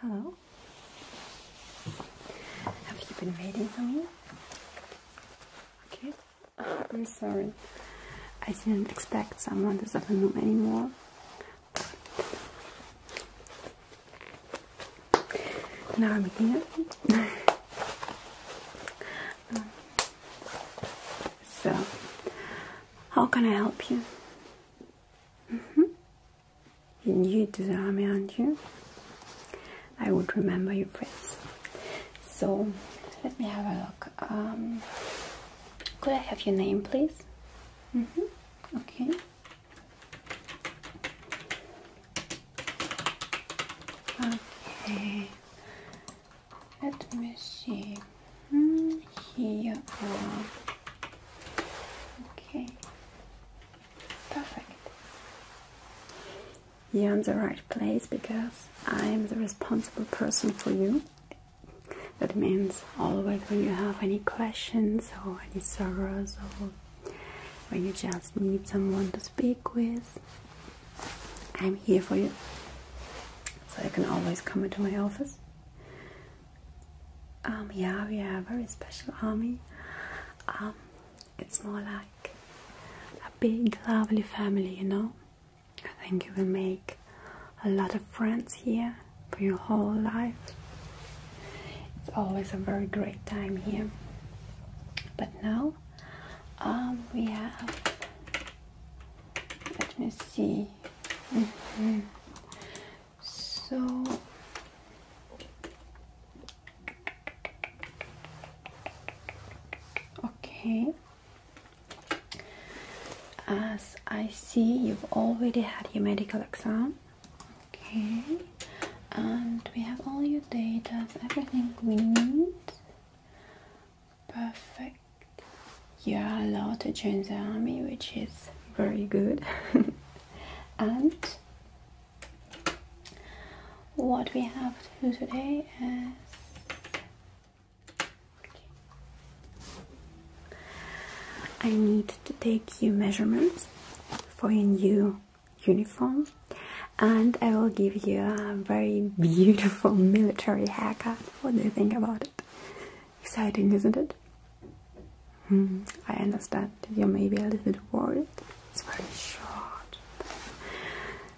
Hello? Have you been waiting for me? Okay. I'm sorry. I didn't expect someone to this afternoon anymore. Now I'm here. Um, so, how can I help you? Mm -hmm. And you do the army, aren't you? I would remember your face. So let me have a look. Um, could I have your name, please? Mm -hmm. Okay. Okay. Let me see here Okay, perfect. You're in the right place because I am the responsible person for you. That means always when you have any questions or any sorrows or when you just need someone to speak with, I'm here for you. So you can always come into my office um, yeah, we have a very special army. Um, it's more like a big, lovely family, you know. I think you will make a lot of friends here for your whole life. It's always a very great time here. But now um, we have, let me see. Mm-hmm. So okay. As I see, you've already had your medical exam. Okay, and we have all your data, everything we need. Perfect you are allowed to join the army, which is very good. and what we have to do today is I need to take your measurements for a new uniform and I will give you a very beautiful military haircut. What do you think about it? Exciting, isn't it? Hmm, I understand you're maybe a little bit worried. It's very short.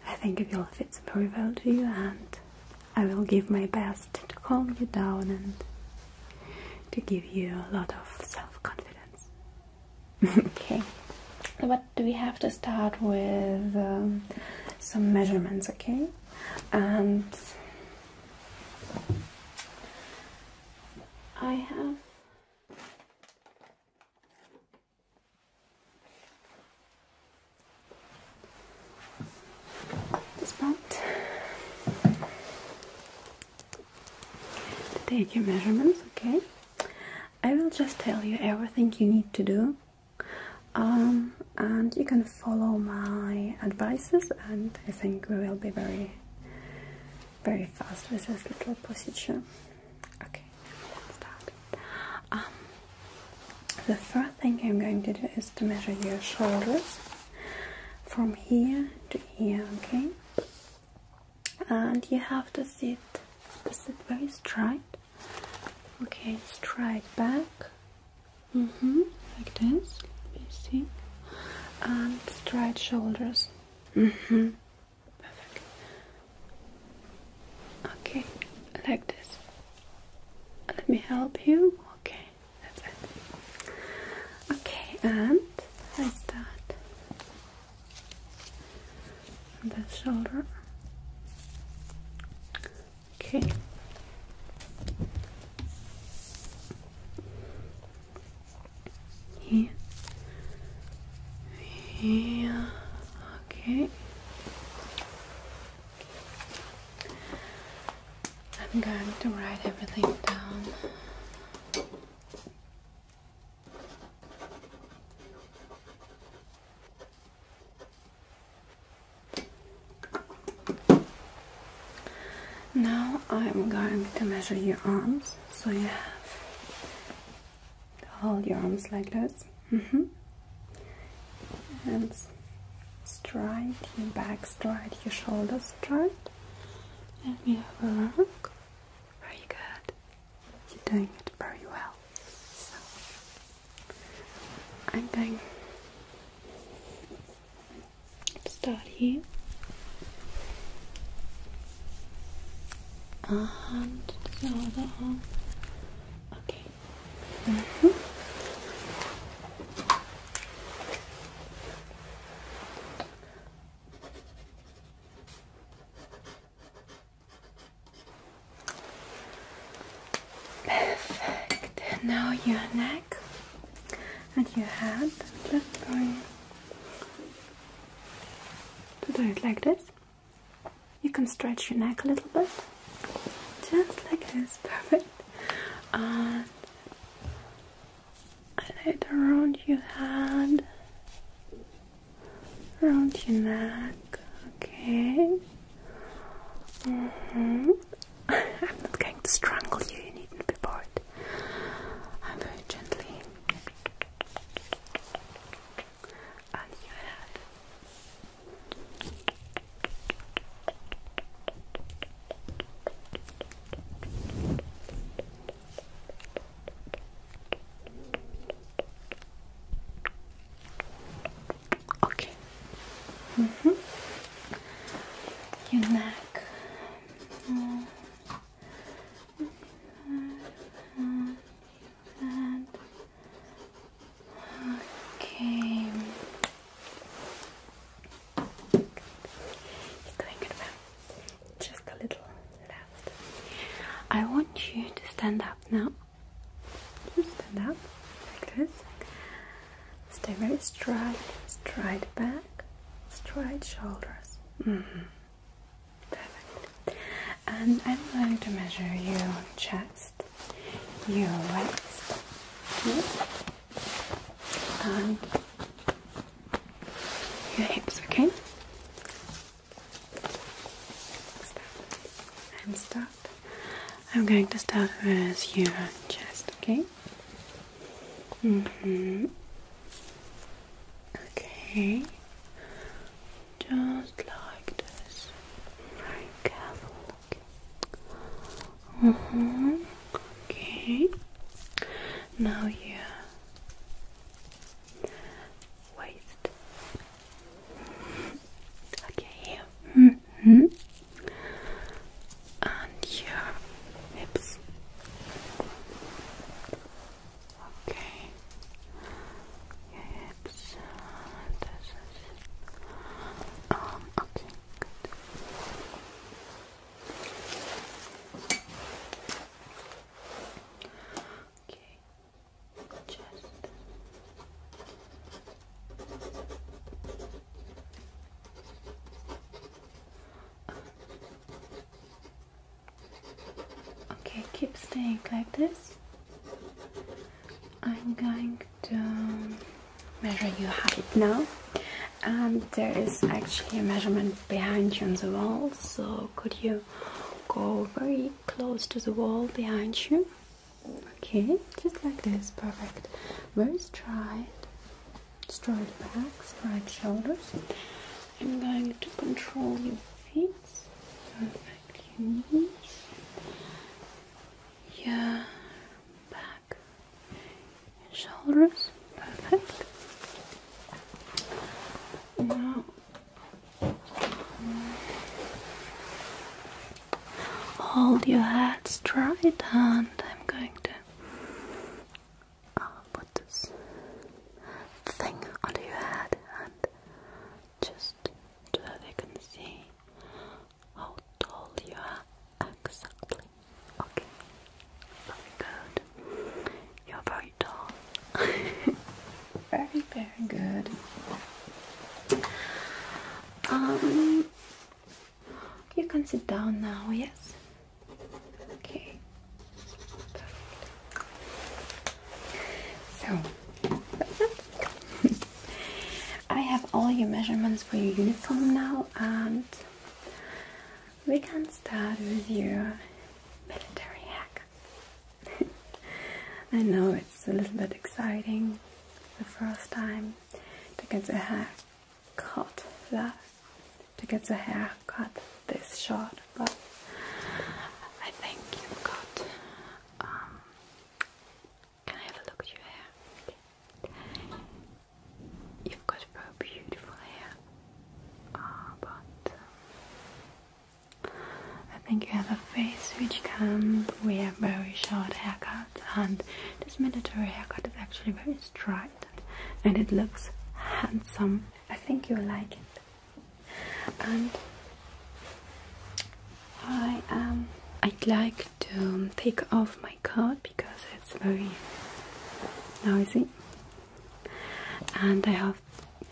I think it will fit very well to you, and I will give my best to calm you down and to give you a lot of self confidence. okay, but do we have to start with? Um, some measurements, okay? And I have this part to take your measurements, okay? I will just tell you everything you need to do, um, and you can follow my advices and I think we will be very very fast with this little procedure. Okay, let's start. Um, the first thing I'm going to do is to measure your shoulders from here to here, okay? And you have to sit sit very straight. Okay, straight back Mm hmm Like this. Let me see. And straight shoulders. Mm hmm Perfect. Okay, like this. Let me help you. Okay, that's it. Okay, and I start on shoulder. Okay. Here. Here. Okay. I'm going to write everything down. Now I'm going to measure your arms so you have hold your arms like this mm-hmm. and straight your back, straight your shoulders, straight. Let me have a look. Very good. You're doing it very well. So I'm going start here and the Okay. -hmm. Perfect. now your neck. And your head. Just going to do it like this. You can stretch your neck a little bit, just like this. Perfect. And I around your head, around your neck. Okay. -hmm. I'm not going to strangle you, you needn't be bored. I'm very gently on your head. Okay. -hmm. Your neck Okay. It's going good Just a little left. I want you to stand up now. Just stand up like this. Stay very straight, straight back, straight shoulders. Mm -hmm. Perfect. And I'm going to measure your chest, your waist, yep. and your hips, okay? Start. I'm start. I'm going to start with your chest, okay? Mm hmm. Okay. Just like this. Very careful looking. Mm mm-hmm. Okay. Now your waist. Okay. Here. Mm and your hips. Okay, your hips. this is um. Okay, good. Okay, keep staying like this. I'm going to measure your height now, and um, there is actually a measurement behind you on the wall, so could you go very close to the wall behind you? Okay, just like this, perfect. Very try straight back, straight shoulders. I'm going to control your feet, perfect your knees, your back, shoulders, perfect. Now, hold your head straight, and I'm going to I'll put this thing under your head and just so that they can see how tall you are exactly. Okay, very good. You're very tall. very, very good. Um, you can sit down now, yes? Okay. So, I have all your measurements for your uniform now, and we can start with your military hack. I know it's a little bit exciting the first time to get a hack cut that to get the hair cut this short, but I think you've got. Um, can I have a look at your hair? You've got beautiful hair, ah, but um, I think you have a face which can wear very short haircuts, and this mandatory haircut is actually very straight and it looks handsome. I think you'll like it. And I I'd like to take off my coat because it's very noisy, and I have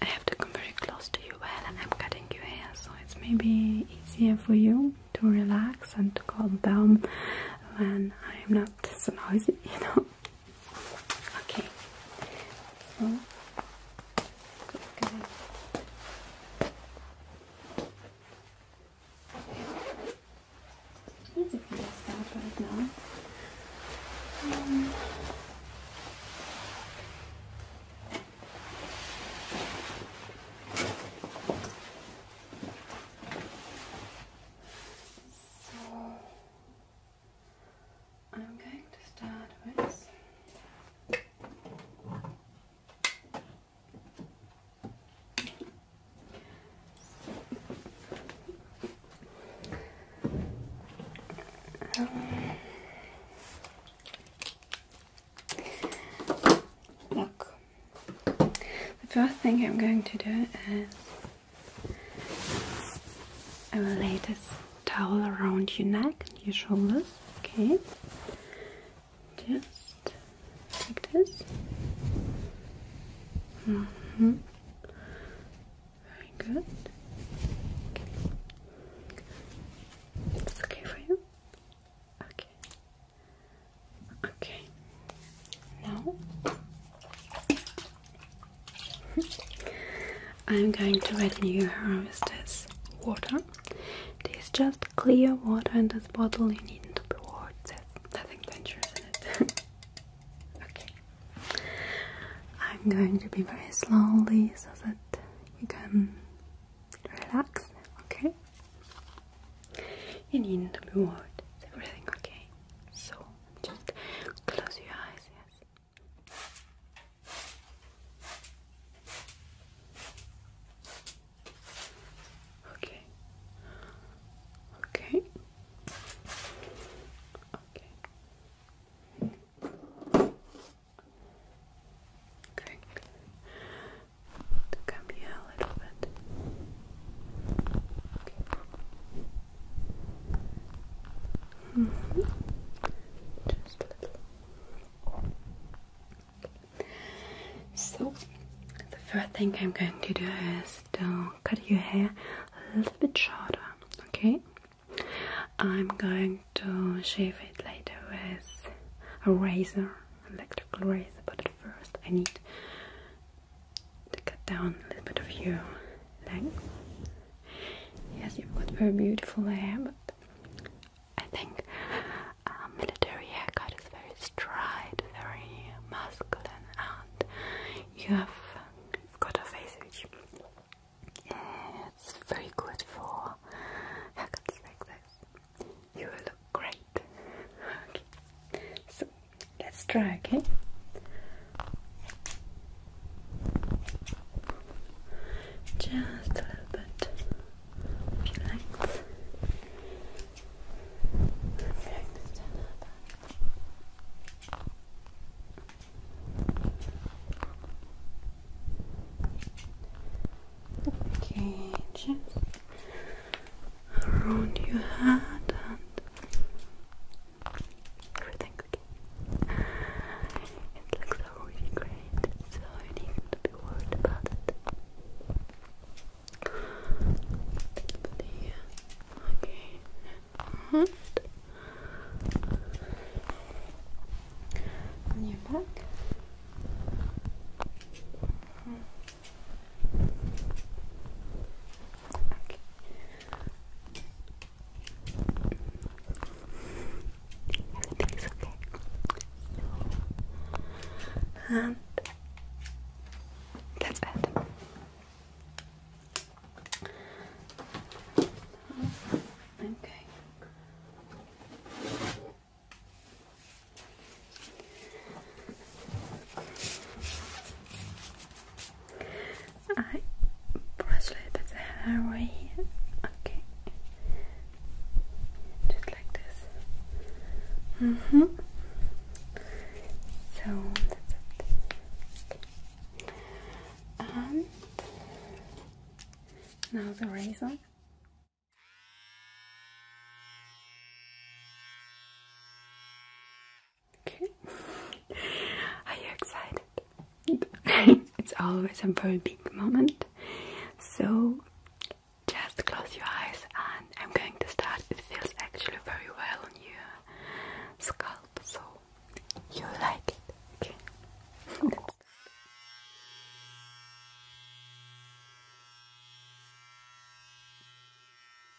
I have to come very close to you while I'm cutting your hair, so it's maybe easier for you to relax and to calm down when I'm not so noisy, you know. Okay. So, okay. Easy for you right now. So I'm going to start with um, look. The first thing I'm going to do is I will lay this towel around your neck and your shoulders, okay? Just like this. -hmm. Very good. It's okay for you? Okay. Okay. Now I'm going to add new harvesters water. This is just clear water in this bottle. You needn't be There's nothing dangerous in it. okay. I'm going to be very slowly so that you can relax. Okay. You needn't be everything okay? So just close your eyes, Okay. Okay. Okay. Okay. To come here a little bit. So, the first thing I'm going to do is to cut your hair a little bit shorter, okay? I'm going to shave it later with a razor, electrical razor, but at first I need to cut down a little bit of your length. Yes, you've got very beautiful hair, but I think uh, military haircut is very straight, very masculine, and you have got a face which eh, it's very good for haircuts like this. You will look great. Okay, so Let's try, okay? Just a little bit of Okay, just around your head and Everything's okay. It looks really great, so you need to be worried about it. Okay. On your back. Mm-hmm. Okay. Everything's okay. And that's it. Okay. I brush the hair right here. Okay. Just like this. hmm So that's it. Okay. now the razor. Okay. Are you excited? it's always a very big moment. So just close your eyes and I'm going to start. It feels actually very well on your scalp, so you like it. Okay.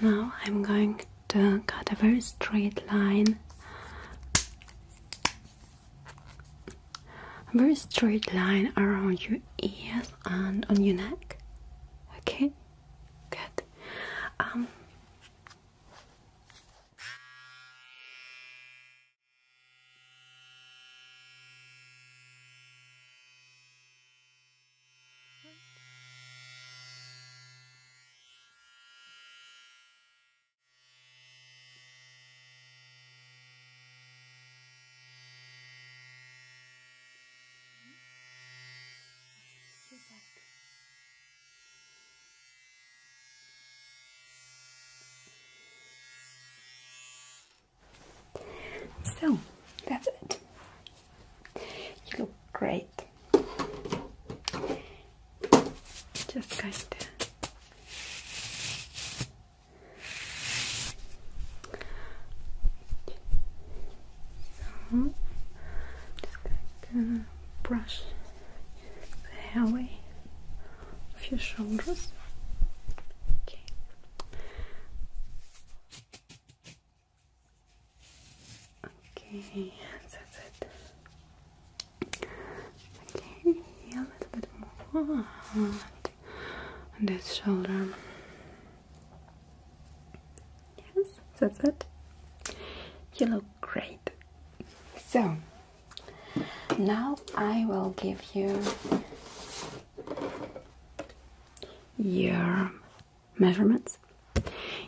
Now I'm going to cut a very straight line a very straight line around your ears and on your neck. Okay, good. Um, so that's it. You look great. Just kind so, just going to brush the hair away of your shoulders. Okay. Okay, that's it. Okay, a little bit more on this shoulder. Yes, that's it. You look great. So, now I will give you your measurements.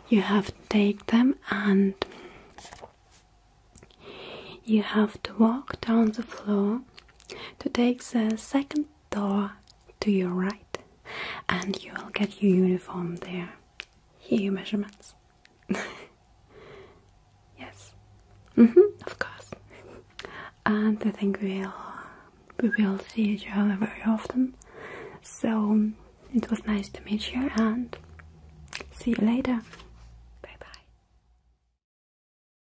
You have to take them and you have to walk down the floor to take the second door to your right, and you will get your uniform there. Here, your measurements. yes, mm -hmm, of course. and I think we'll we will see each other very often. So it was nice to meet you, and see you later. Bye bye.